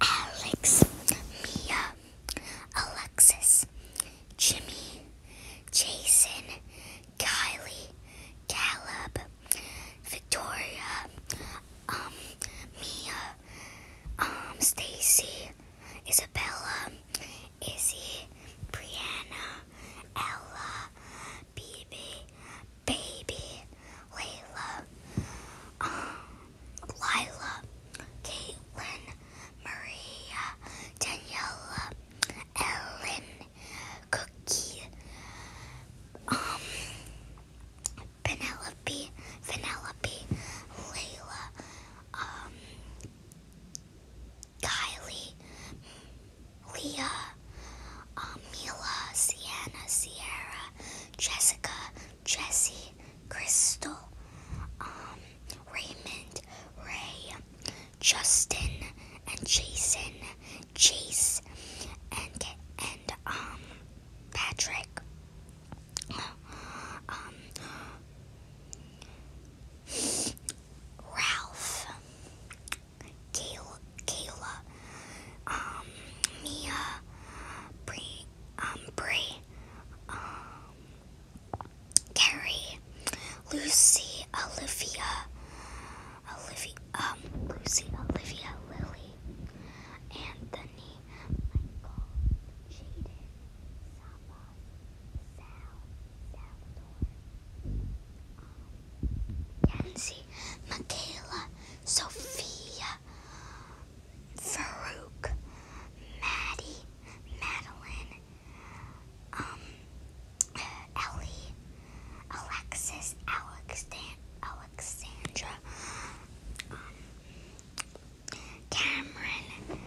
Alex, Mia, Alexis, Jimmy, Jason, Kylie, Caleb, Victoria, um, Mia, um, Stacy, Isabella, Izzy, Brianna, Ella, Bibi, Baby, Layla, um, Lila, Caitlin, Maria, Daniela, Ellen, Cookie, um, Penelope, Penelope, Layla, um, Kylie, Leah, um, Sienna, Sierra, Jessica, Jesse, Crystal, um, Raymond, Ray, Justin, and Jason, Chase, and and um, Patrick. Um, Ralph, Kayla, Kayla um, Mia, Bree, um, um, Carrie, Lucy, Olivia, Olivia, um, Lucy, Olivia, Lily, Anthony, Michael, Jaden, Saba, Sal, Salvador, um, Yancy, Michaela, Sophia, Farouk, Maddie, Madeline, um, Ellie, Alexis, Alexand Alexandra, um, Cameron.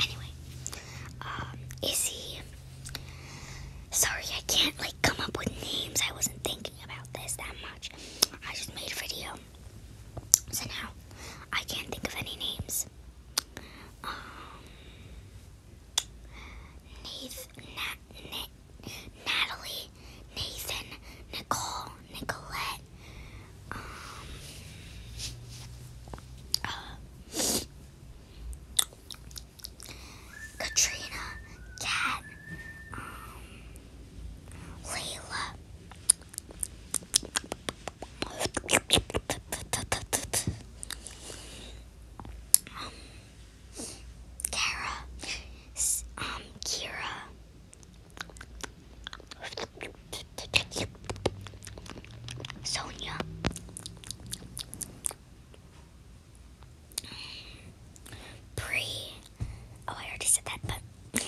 Anyway, um, Izzy. Sorry, I can't like come up with names. I wasn't thinking about this that much. I just made a video, so now I can't think of any names. Um, Nath, Nat, Nat, Natalie, Nathan, Nicole, Nicolette, um, Katrina, Kat, um, Layla. Um, Kara, um, Kira, Sonia. Bree. Oh, I already said that, but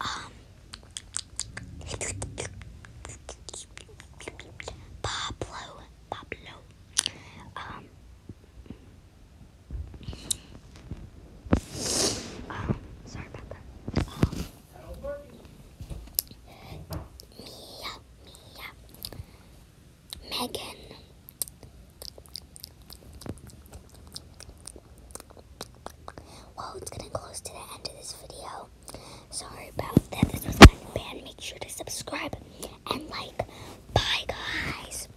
um. Pablo, Pablo, um, um, sorry about that. Megan. Well, it's getting close to the end of this video. Sorry about that. This was kind Make sure to subscribe and like. Bye, guys.